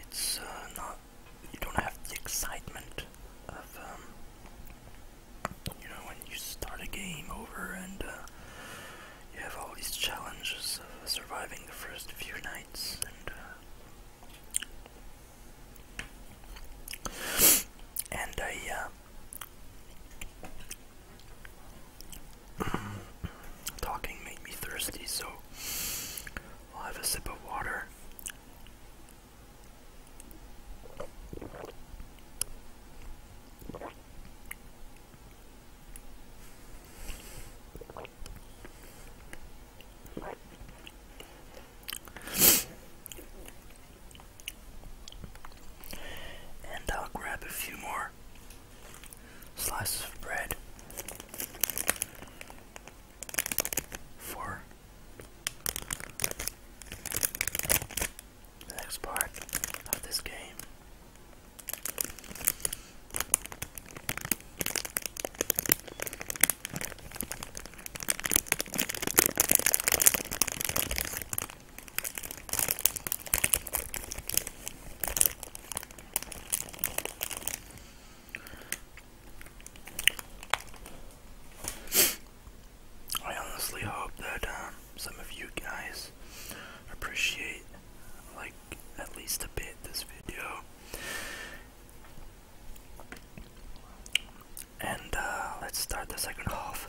It's uh, not, you don't have the excitement of, um, you know, when you start a game over and uh, you have all these challenges of surviving the first few nights and, uh, and I, Talking made me thirsty, so I'll have a sip of water. And I'll grab a few more Slice of bread for the next part of this game. I honestly hope that um, some of you guys appreciate, like, at least a bit this video. And uh, let's start the second half.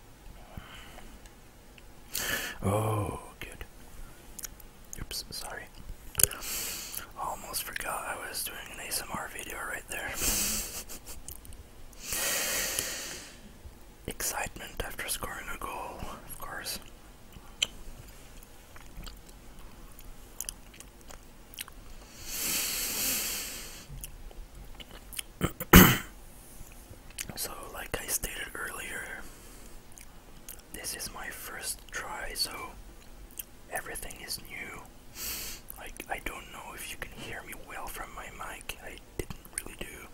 Oh, good. Oops, sorry. Almost forgot I was doing an ASMR video right there. Excitement after scoring a goal, of course. So, like I stated earlier, this is my first try, so everything is new. Like, I don't know if you can hear me well from my mic. I didn't really do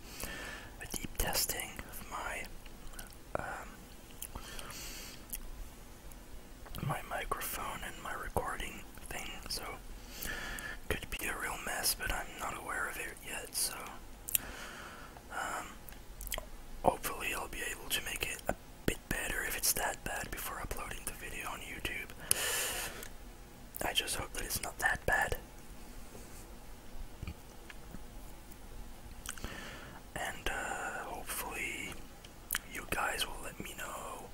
a deep testing of my um, my microphone and my recording thing, so could be a real mess, but I'm not aware of it yet, so um, hopefully I'll be able to make it a bit better if it's that bad before uploading the video on YouTube. I just hope that it's not that bad. And uh, hopefully you guys will let me know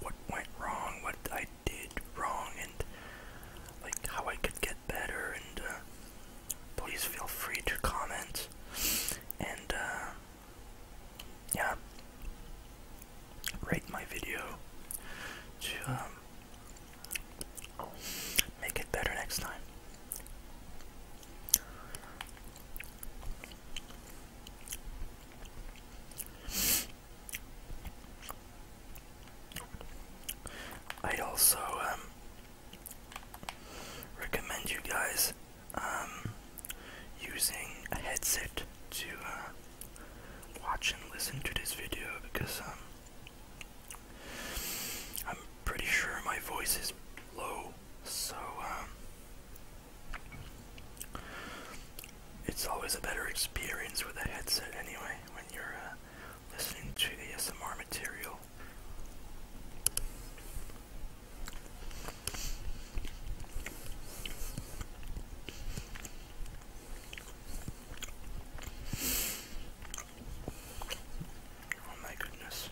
what went wrong, what I did wrong and like how I could get better and uh, please feel free to comment and uh, yeah rate my video to um, make it better next time I also um, recommend you guys um, using a headset to uh, watch and listen to this video because um, I'm pretty sure my voice is low, so it's always a better experience with a headset anyway when you're uh, listening to the SMR material. Oh my goodness.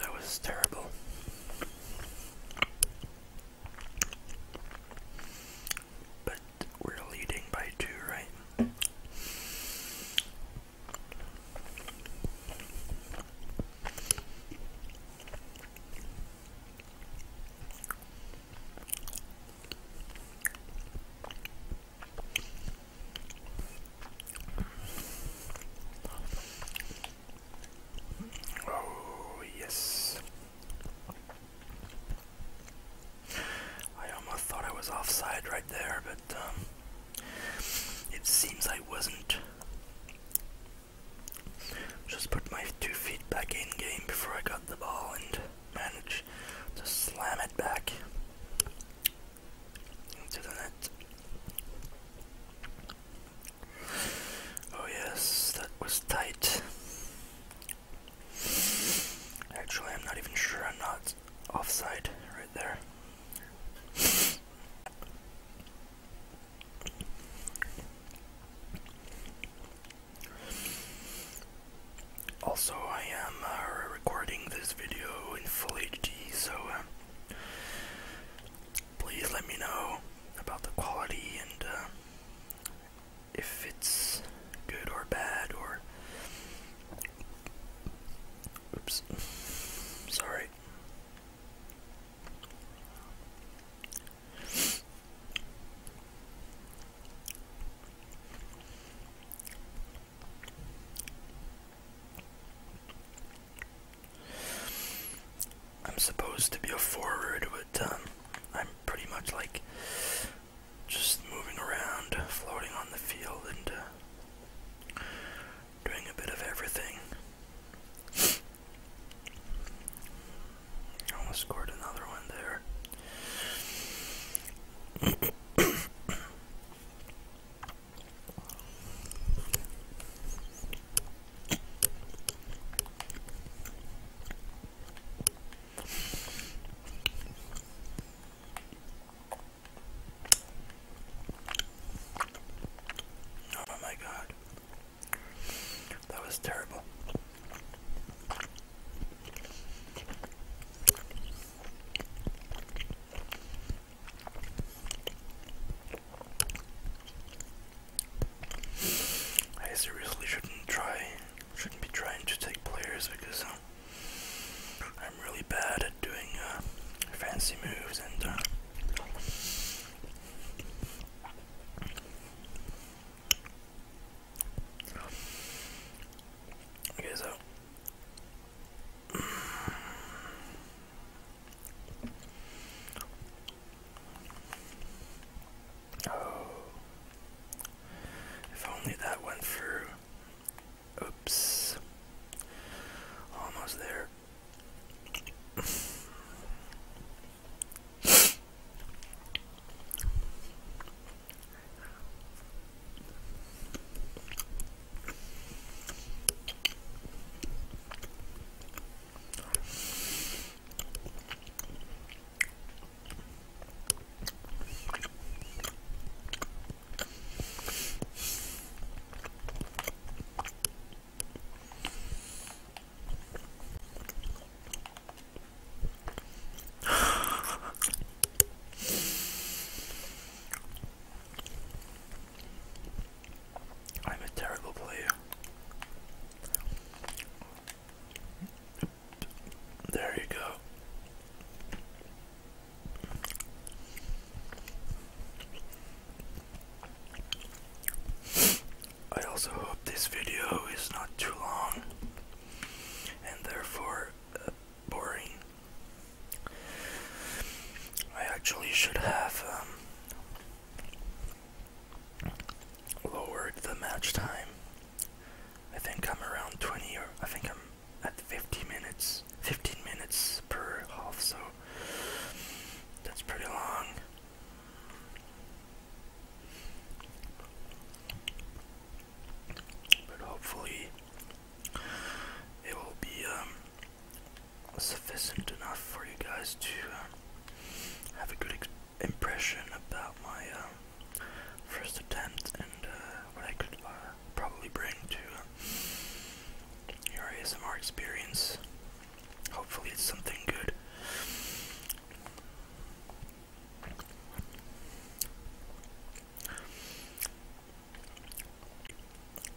That was terrible. But we're leading by two, right? Oh, yes. I almost thought I was offside right there, but um, it seems I wasn't. Just put my two feet back in game before I got the ball and managed to slam it back into the net. Oh, yes, that was tight. Actually, I'm not even sure I'm not offside right there. Also, I am uh, recording this video in full HD, so um, please let me know about the quality and uh, if it's good or bad or oops sorry I'm supposed to be a forward, but um, I'm pretty much like just moving around, floating on the field, and uh, doing a bit of everything. Almost scored another one there. Oh my god. That was terrible. I seriously shouldn't try, shouldn't be trying to take players because uh, I'm really bad at doing uh, fancy moves and uh, Okay, Oh. If only that went through. Oops. Almost there. I'm a terrible player. There you go. I also hope this video is not too long and therefore uh, boring. I actually should have um, lowered the match time. I think I'm around 20 or I think I'm at 50 minutes, 15 minutes per half, so that's pretty long. But hopefully it will be um, sufficient enough for you guys to uh, have a good experience impression about my um, first attempt and uh, what I could uh, probably bring to uh, your ASMR experience. Hopefully, it's something good.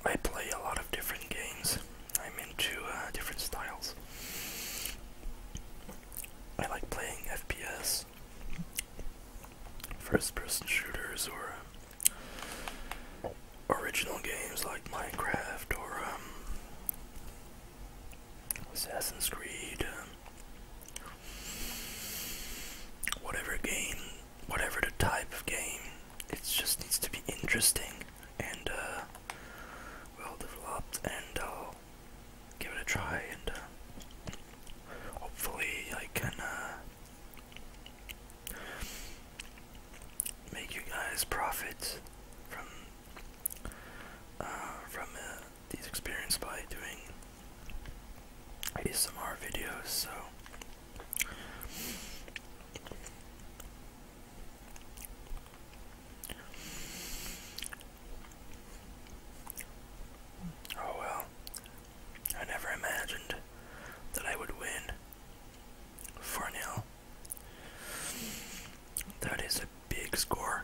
I play a lot of different games. I'm into uh, different styles. I like playing FPS, first-person shooters, or um, original games like Minecraft or um, Assassin's Creed. Um, whatever game, whatever the type of game, it just needs to be interesting and uh, well developed and uh, give it a try and uh, hopefully I can uh, make you guys profit from uh, from these experience by doing ASMR videos so Oh well, I never imagined that I would win 4 0. That is a big score.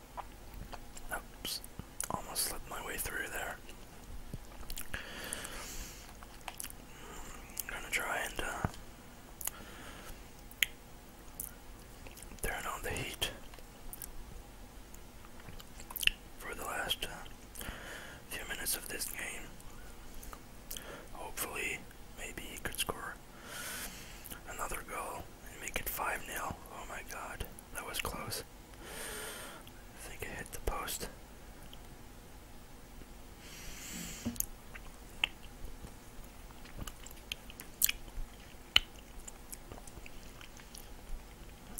Oops, almost slipped my way through there. I'm gonna try and uh, turn on the heat for the last uh, few minutes of this game. Hopefully, maybe he could score another goal and make it 5 0. Oh my god. That was close. I think I hit the post.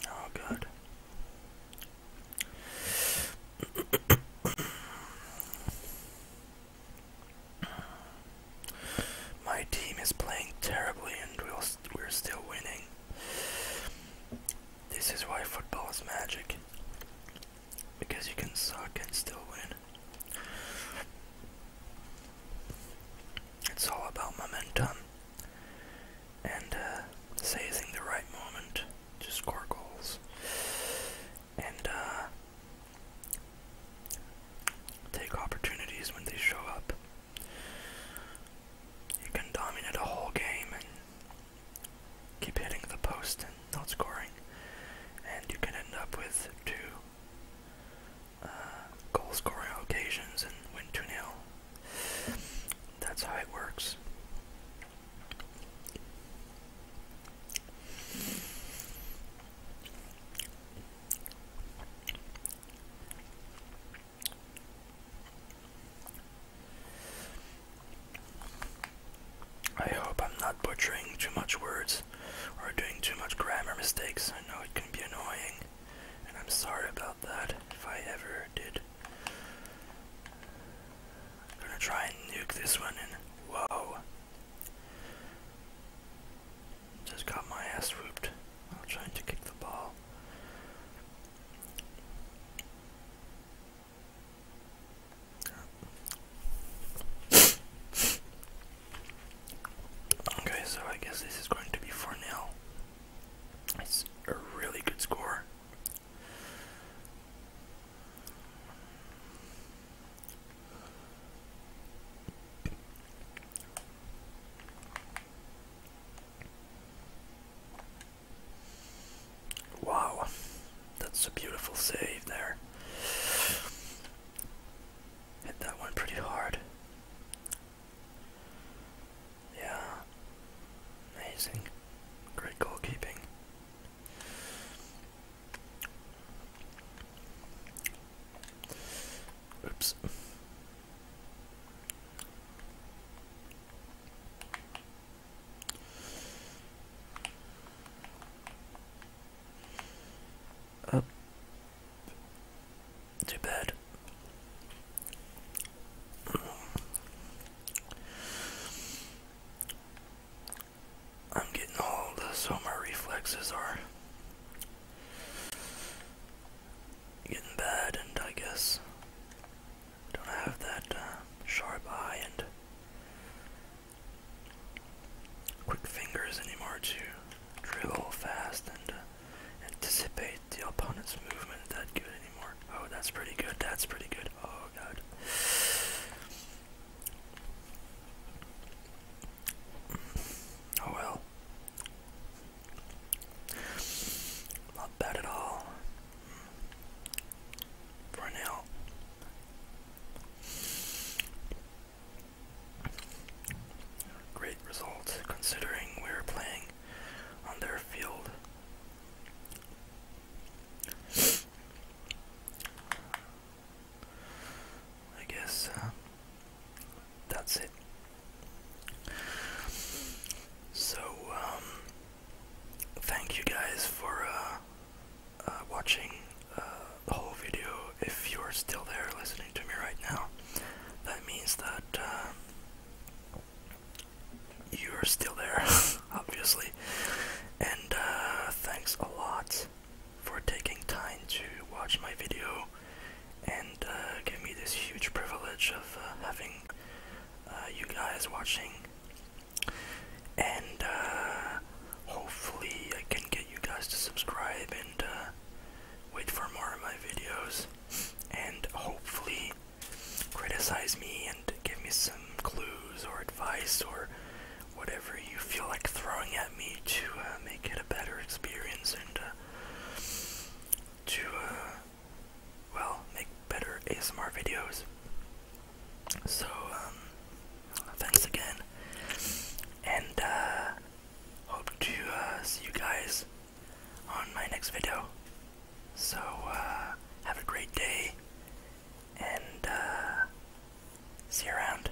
Oh, good. My team is playing terribly and we'll we we're still winning. This is why football is magic. Because you can suck and still win. It's all about momentum and uh, seizing the right moment to score goals and uh, take opportunities when they show up. You can dominate a whole game and keep hitting the post and not scoring, and you can end up with two uh, goal scoring occasions and win 2 nil That's how it works. I hope I'm not butchering too much words or doing too much grammar mistakes. I know it can be annoying, and I'm sorry about that if I ever did. I'm gonna try and nuke this one, and whoa. Just got my ass whooped while trying to kick the ball. Okay, so I guess this is going to be 4 0. It's a really good score. Wow, that's a beautiful save there. Hit that one pretty hard. Yeah, amazing. Great goalkeeping. Oops. Up to bed. I'm getting old, so my reflexes are getting bad, and I guess I don't have that uh, sharp eye and quick fingers anymore to drill fast and uh, anticipate the opponent's movement that good anymore. Oh, that's pretty good. That's pretty good. Oh, God. Oh well. Not bad at all. For now. Great result considering we are playing on their field. I guess uh, that's it. So, um, thank you guys for uh, uh, watching uh, the whole video. If you're still there listening to me right now, that means that uh, you're still there, obviously. And uh, thanks a lot for taking time to watch my video and uh, give me this huge privilege of uh, having uh, you guys watching. And hopefully, I can get you guys to subscribe and wait for more of my videos. And hopefully, criticize me and give me some clues or advice or whatever you feel like throwing at me to make it a better experience and to, uh, well, make better ASMR videos. So, um, thanks again, and, uh, hope to, uh, see you guys on my next video. So, have a great day, and, see you around.